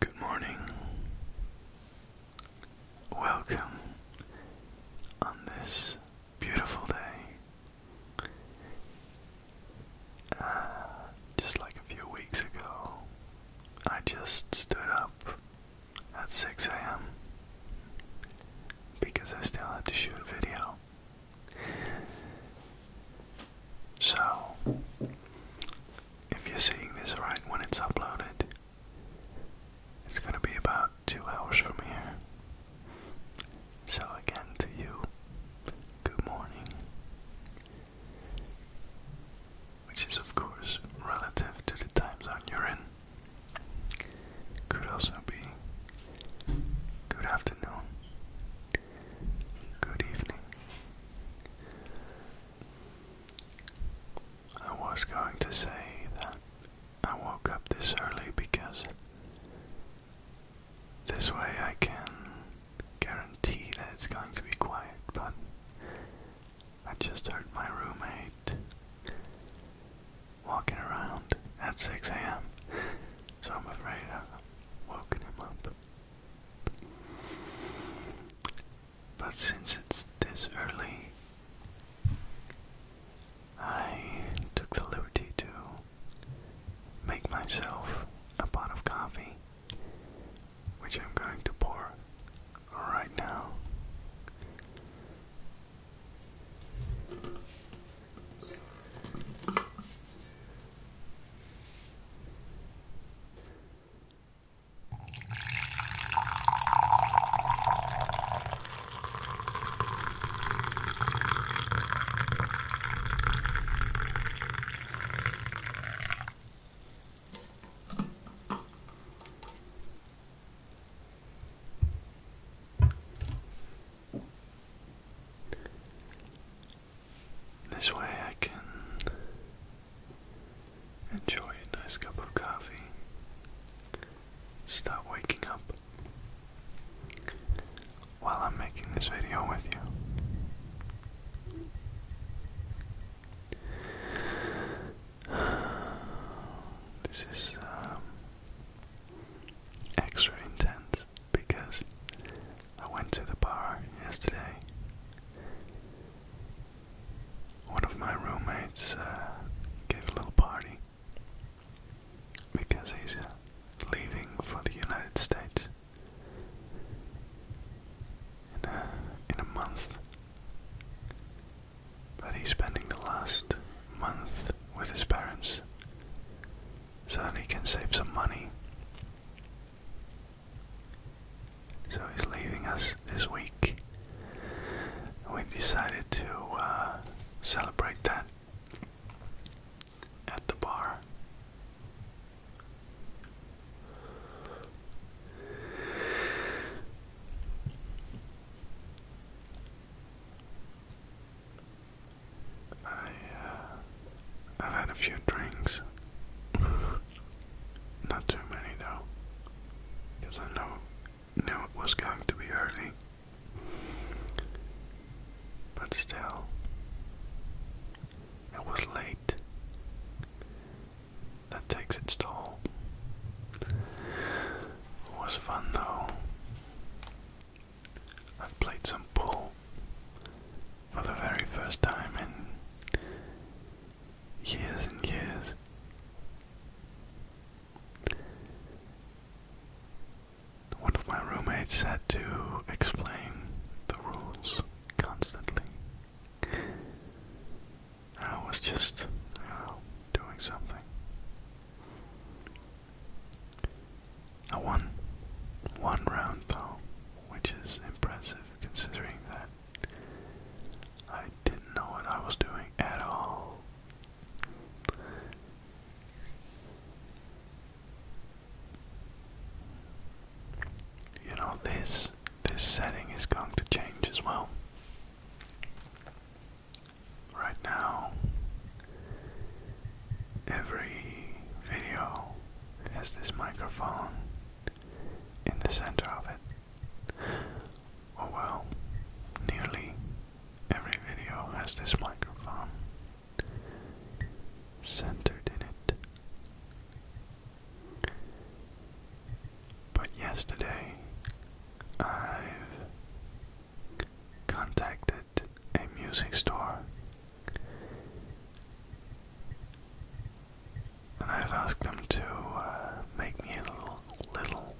Good morning. Welcome on this beautiful day. Uh, just like a few weeks ago, I just stood up at 6 a.m. because I still had to shoot a video. So, if you're seeing this right when it's uploaded, it's going to be about two hours from here. So, again, to you, good morning which is of course relative to the time zone you're in, could also be good afternoon, good evening. I was going to say that I woke up this early because this way I can guarantee that it's going to be quiet, but I just heard my roommate walking around at 6 a.m., so I'm afraid i woken him up. But since it's this early, I took the liberty to make myself a pot of coffee which I'm going to pour right now. This way I can enjoy a nice cup of coffee. Start waking up while I'm making this video with you. This is um, extra intense because I went to the bar yesterday. One of my roommates uh, gave a little party because he's uh, leaving for the United States in a in a month. But he's spending the last month with his parents so that he can save some money. So he's leaving us this week. We decided to uh, celebrate that at the bar. I, have uh, had a few drinks. Not too many though, because I know knew it was going to be early. But still, it was late, that takes its toll. It was fun though. I've played some pool for the very first time in years and years. One of my roommates had to explain the rules constantly. I was just doing something. I won one round though, which is impressive considering that I didn't know what I was doing at all. You know, this this setting is going to change as well. Right now, every video has this microphone in the center of it. Oh, well, nearly every video has this microphone centered in it. But yesterday, I've contacted a music store and I've asked them to uh, make me a little, little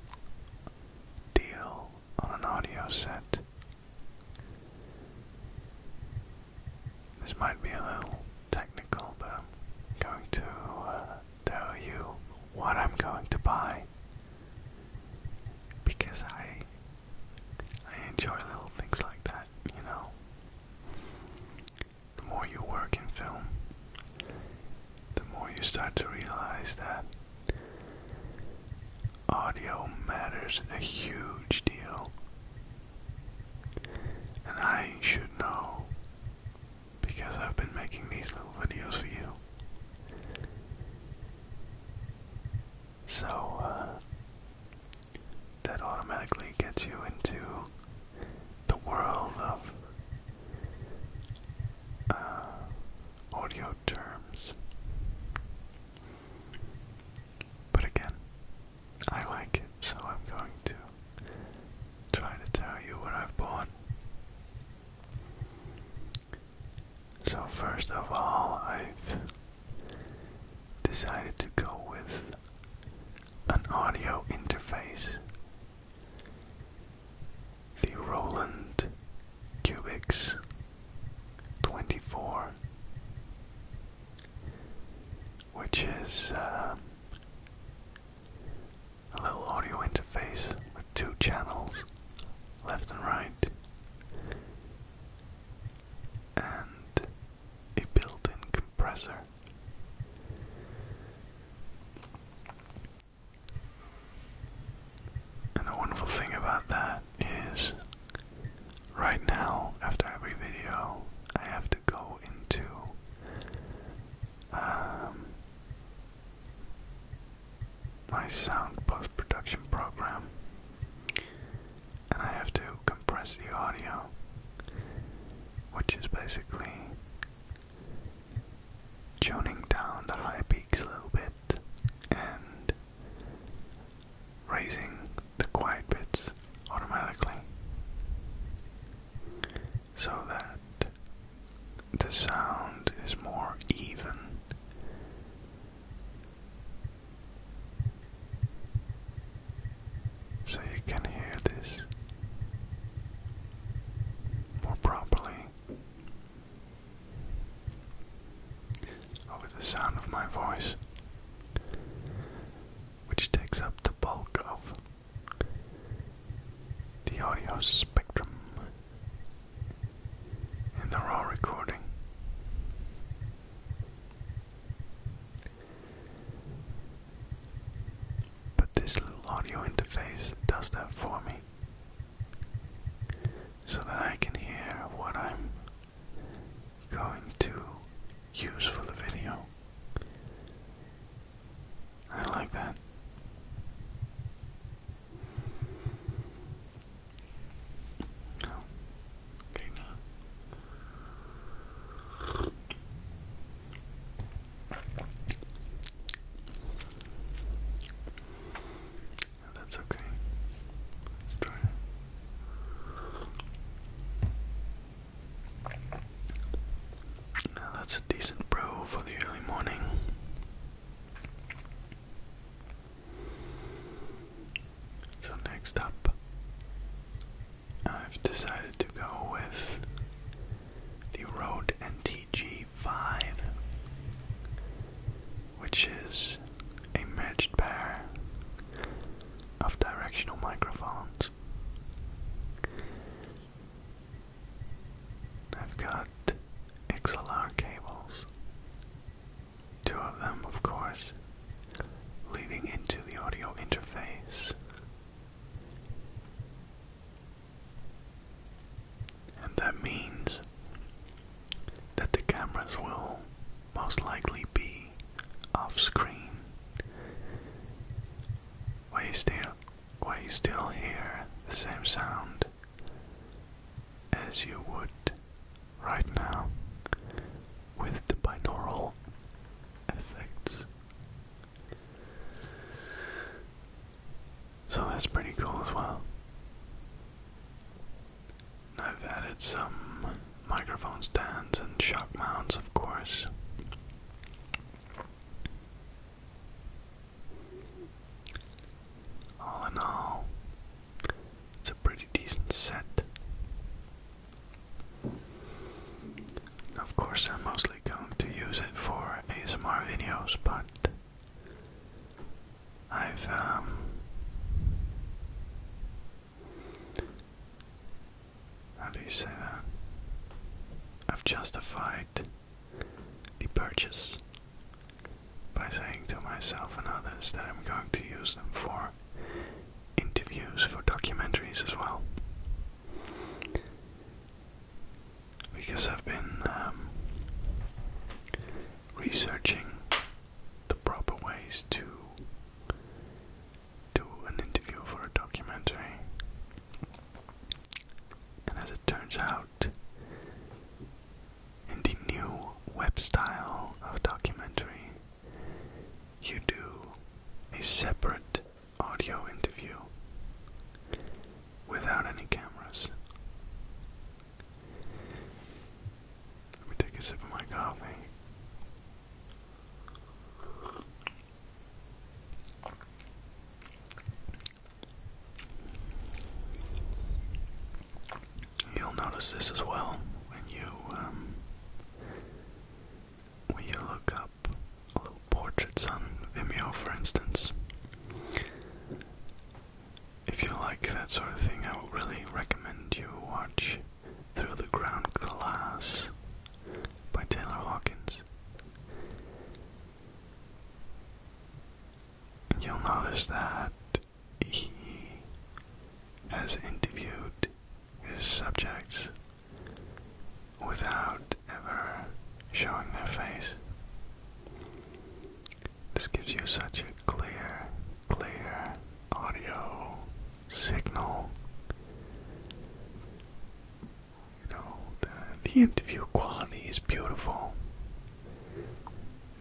deal on an audio set. This might be a little technical, but I'm going to uh, tell you what I'm going to buy because I I enjoy little things like that, you know. The more you work in film, the more you start to realize that audio matters a huge deal. And I should know because I've been making these little videos for you. So, uh, that automatically gets you into the world of uh, audio terms. But again, I like it. So I'm going to try to tell you what I've bought. So first of all, I've decided to go with an audio interface. The Roland Cubix 24, which is uh, a little audio interface with two channels, left and right, and a built in compressor. And the wonderful thing about that is, right now, after every video, I have to go into um, my sound post production program, and I have to compress the audio, which is basically tuning down the high peaks a little bit and raising the quiet bits automatically so that the sound is more even. So you can hear this more properly. Over the sound of my voice, which takes up the bulk of the audio spectrum in the raw recording. But this little audio interface does that for me so that I can hear what I'm going to use for the video I like that. okay That's okay. Let's try it that's a decent bro for the early morning. So, next up, I've decided to go with the Rode NTG 5, which is a matched pair of directional microphones. I've got XLR cables. Two of them, of course, leading into the audio interface. And that means that the cameras will most likely be off screen. Why is there where you still hear the same sound as you would right now with the binaural effects. So that's pretty cool as well. I've added some microphone stands and shock mounts, of course. All in all, it's a pretty decent set. Of course, I'm mostly going to use it for ASMR videos, but I've um, how you say I've justified the purchase by saying to myself and others that I'm going to use them for interviews, for documentaries as well. Because I've been um, researching the proper ways to do an interview for a documentary, and as it turns out, in the new web style of documentary, you do a separate audio interview without any cameras. Let me take a sip of my coffee. You'll notice this as well when you um, when you look up little portraits on Vimeo, for instance. If you like that sort of thing, I would really recommend you watch Through the Ground Glass by Taylor Hawkins. You'll notice that he has interviewed his subjects without ever showing their face. This gives you such a clear, clear audio signal you know, the, interview quality is beautiful.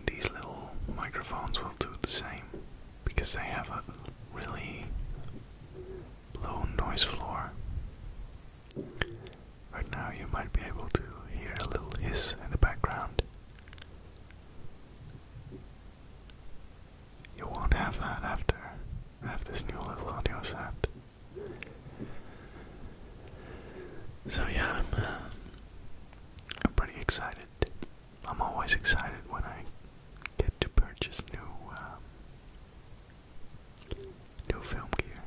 These little microphones will do the same because they have a really low noise floor. Right now, you might be able to hear a little hiss in the background. You won't have that after, after this new little audio set. So yeah, I'm, uh, I'm pretty excited. I'm always excited when I get to purchase new um, new film gear.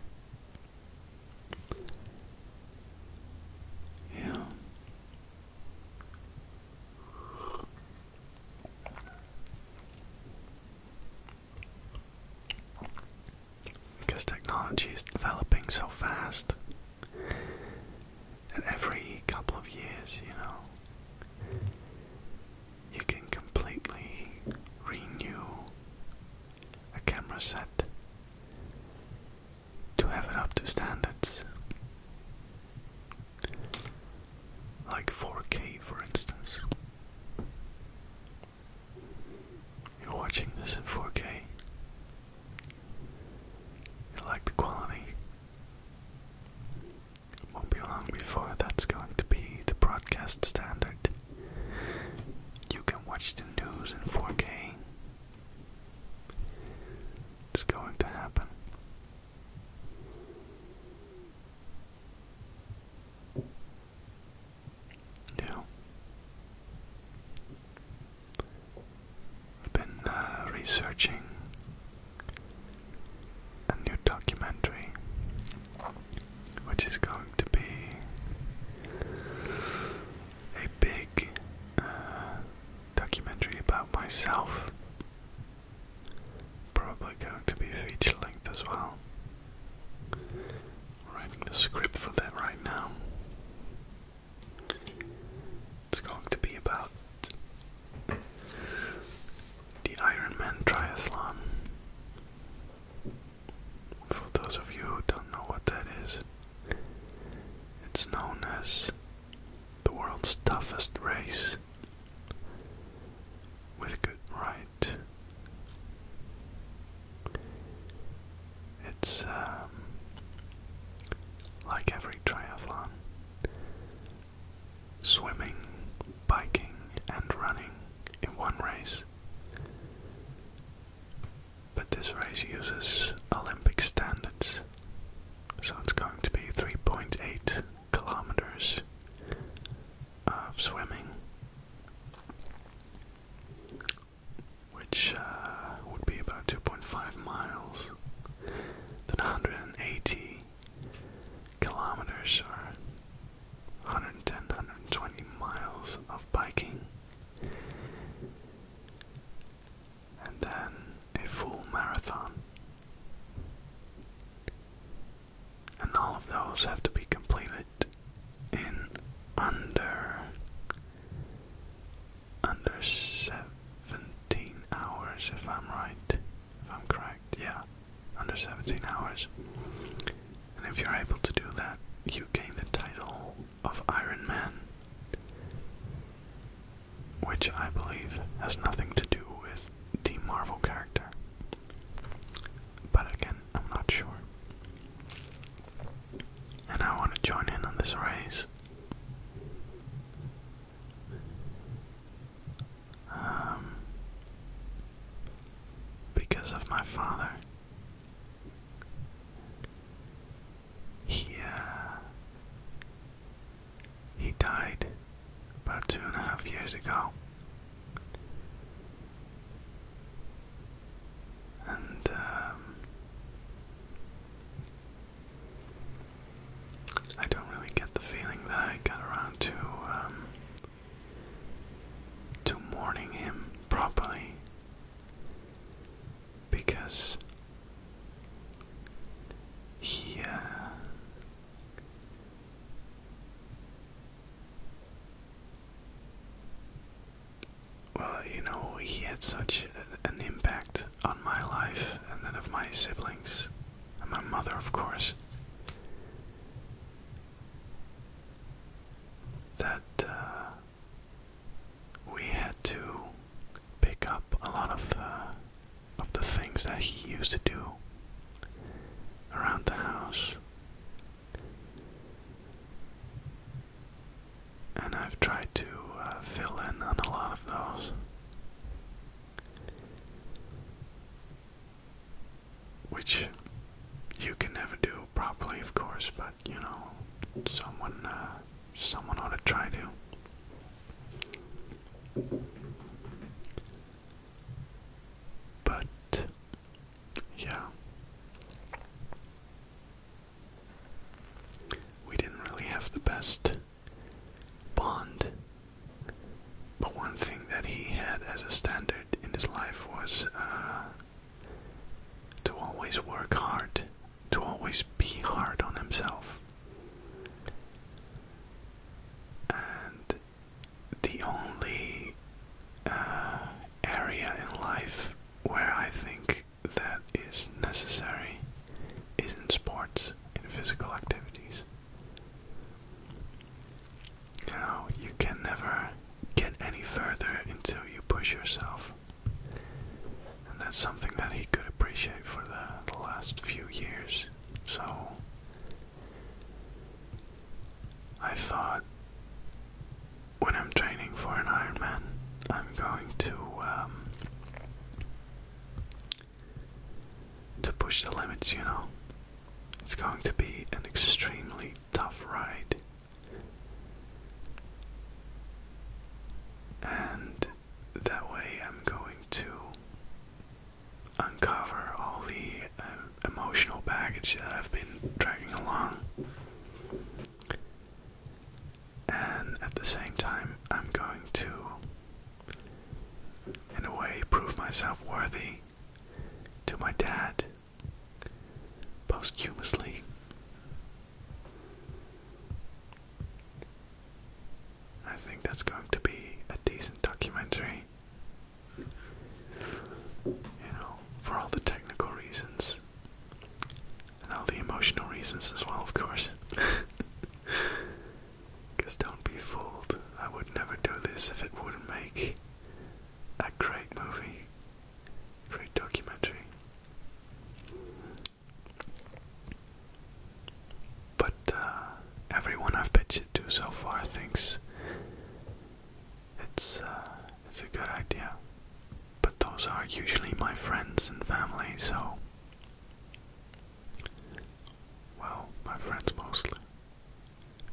Yeah. Because technology is developing so fast that every couple of years, you know, you can completely renew a camera set to have it up to standards. Like 4K, for instance. You're watching this in 4K. You like the quality. won't be long before that's going to be the broadcast standard. You can watch the news in 4K. It's going to happen. Yeah. I've been uh, researching a new documentary which is going to be a big uh, documentary about myself probably going to be feature length as well. writing the script for that right now. It's going to be about the Ironman Triathlon. For those of you who don't know what that is, it's known as the world's toughest race with good ri it's um, like every triathlon swimming, biking, and running in one race. But this race uses Olympic standards, so it's going to be 3.8 kilometers of swimming, which uh, would be about 2.5 miles, then 180 kilometers or 110, 120 miles of biking, and then a full marathon and all of those have to be completed in under under 17 hours if I'm right if I'm correct yeah under 17 hours and if you're able to do that you gain the title of Iron Man which I believe has nothing to do with the Marvel character but again I'm not sure. And I want to join in on this race. Um, because of my father. He, uh, he died about two and a half years ago. And um, I don't really get the feeling that I got around to um, to mourning him properly because he uh, well, you know, he had such an impact on my life and then of my siblings, and my mother, of course, that uh, we had to pick up a lot of uh, of the things that he used to do around the house. And I've tried to uh, fill in on a lot of those. Which you can never do properly, of course, but you know, someone, uh, someone ought to try to. But yeah. We didn't really have the best bond. But one thing that he had as a standard in his life was uh, to always work hard, to always be hard on himself. And the only uh, area in life where I think that is necessary is in sports, in physical activities. You know, you can never get any further until you push yourself. And that's something that he could appreciate for the, the last few years. So, I thought when I'm training for an Ironman, I'm going to um, to push the limits, you know. It's going to be an extremely tough ride. And that way I'm going to uncover all the um, emotional baggage that I've been dragging along. And at the same time, I'm going to, in a way, prove myself worthy to my dad posthumously. I think that's going to be a decent documentary. You know, for all the technical reasons and all the emotional reasons as well, of course. Because don't be fooled, I would never do this if it wouldn't make a great movie, great documentary. But uh, everyone I've pitched it to so far thinks it's uh, it's a good idea, but those are usually my friends and family, so well, my friends mostly.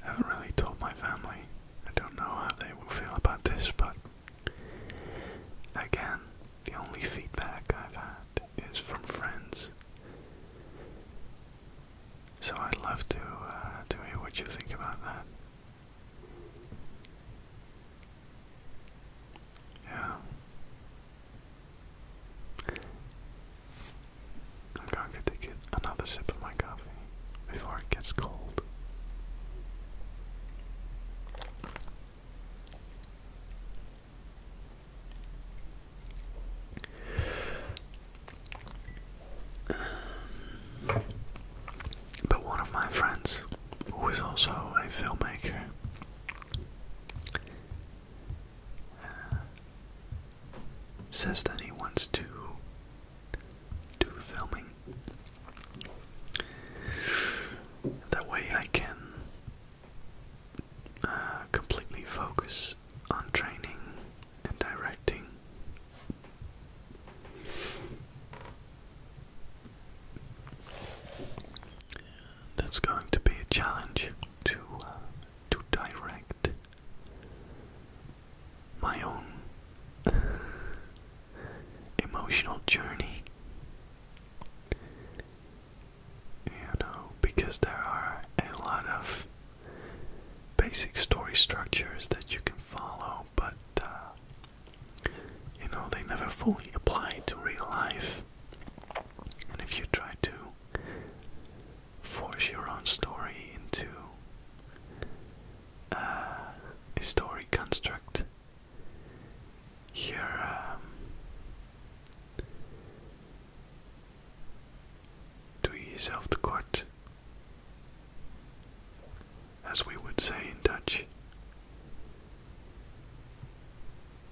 I haven't really told my family. I don't know how they will feel about this, but again, the only feedback I've had is from friends. So I'd love to uh, to hear what you think about that. Yeah. I'm going to take another sip of my coffee before it gets cold but one of my friends, who is also a filmmaker, uh, says that he wants to do filming. That way I can uh, completely focus on training and directing. That's going to be a challenge to uh, to direct my own emotional journey. You know, because there are a lot of basic story structures that you can follow, but uh, you know, they never fully apply to real life. And if you try to force your own story into uh, a story construct, you're um, do ease off the court. As we would say in Dutch,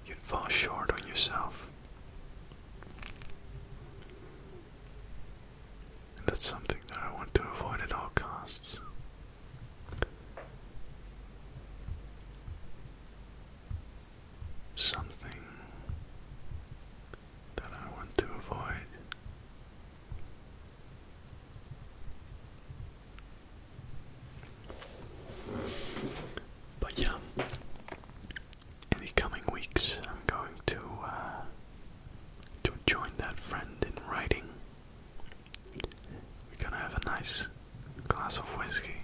you'd fall short on yourself. that's something that I want to avoid at all costs. Something that I want to avoid. But yeah, in the coming weeks, I'm going to uh, to join that friend in writing. We're gonna have a nice glass of whiskey.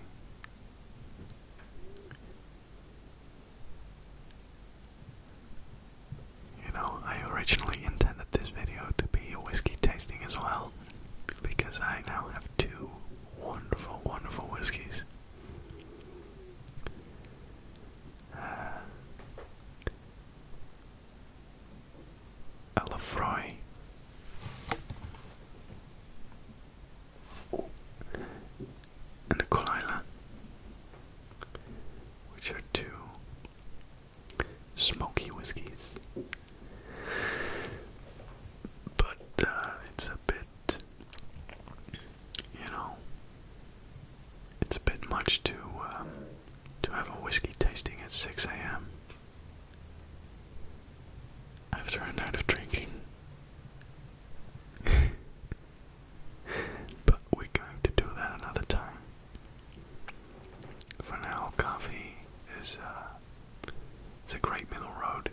You know, I originally intended this video to be a whiskey tasting as well, because I now have two wonderful, wonderful whiskeys. Uh, and the Kolila, which are two smoky whiskeys. But uh, it's a bit, you know, it's a bit much to um, to have a whiskey tasting at 6 a.m. After a night of drinking. but we're going to do that another time. For now, coffee is uh, a great middle road.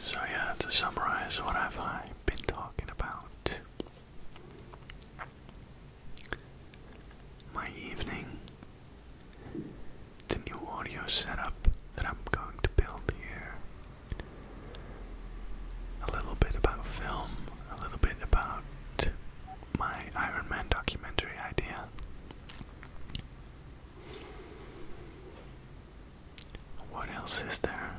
So, yeah, to summarize what I've been talking about, my evening. The new audio setup that I'm going to build here. A little bit about film, a little bit about my Iron Man documentary idea. What else is there?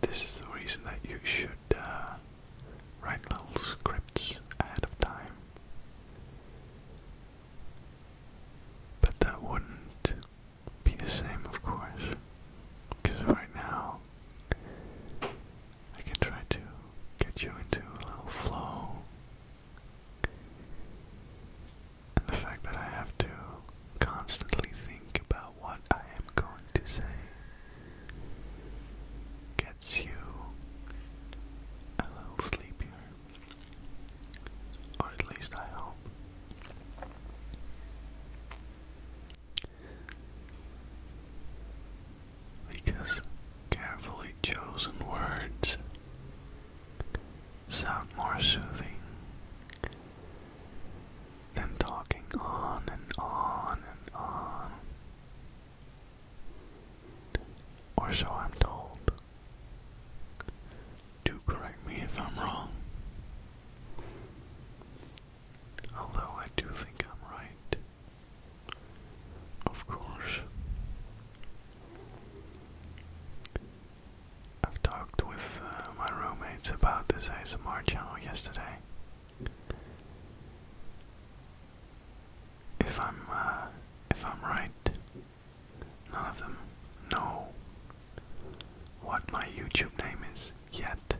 This is the reason that you should uh, write little scripts ahead of time. But that wouldn't be the same, of course, because right now I can try to get you into a little flow and the fact that I have to constantly think about what I am going to say gets you a little sleepier. Or at least I hope. Because carefully chosen words sound more soothing than talking on and on and on. Or so I'm told. Do correct me if I'm wrong. Although I do think I'm right. Of course. I've talked with uh, my roommates about this ASMR channel yesterday. If I'm uh, if I'm right, none of them know what my YouTube name is yet.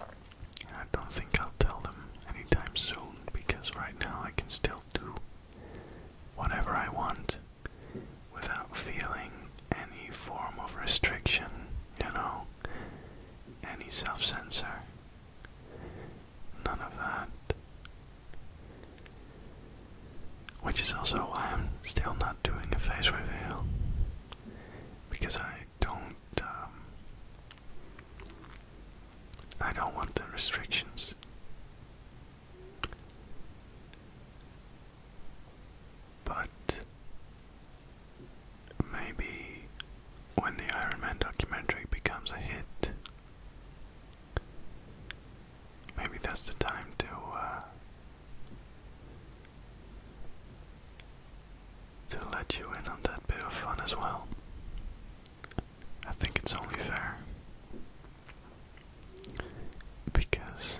And I don't think I'll tell them anytime soon because right now I can still do whatever I want without feeling any form of restriction, you know, any self censor. None of that. Which is also why I'm still not doing a face reveal. Because I don't, um, I don't want the restrictions. But maybe when the Iron Man documentary becomes a hit, maybe that's the time to uh, to let you in on that bit of fun as well. I think it's only fair. Because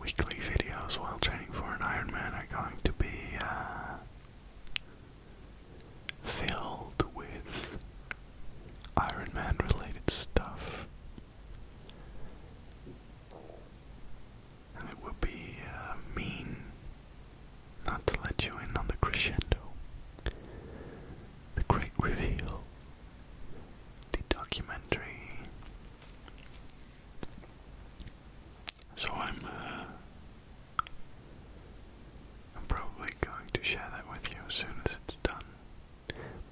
weekly videos while training for an Ironman are going to be uh, filled with Ironman related stuff. And it would be uh, mean not to let you in on the crescendo, the great reveal, the documentary. So I'm, uh, I'm probably going to share that with you as soon as it's done.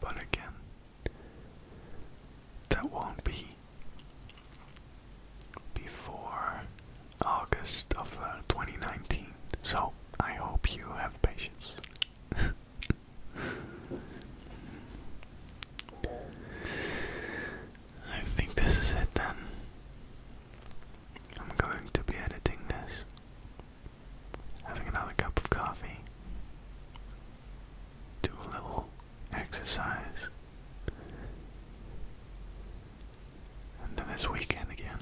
But again, that won't be before August of uh, 2019. So I hope you have patience. I think this is it then. I'm going to be editing this, having another cup of coffee, do a little exercise, and then this weekend again.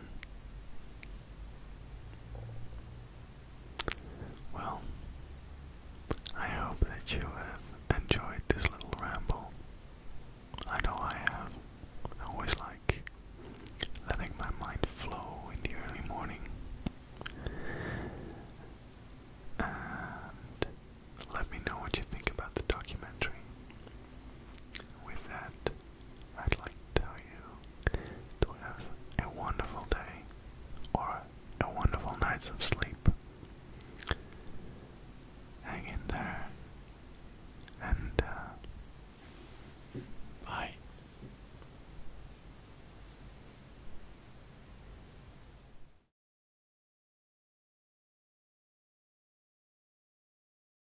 Well, I hope that you have enjoyed this little ramble. I know I have. I always like letting my mind flow in the early morning. And let me know what you think about the documentary. With that, I'd like to tell you to have a wonderful day or a wonderful nights of sleep. Hang in there and uh, bye.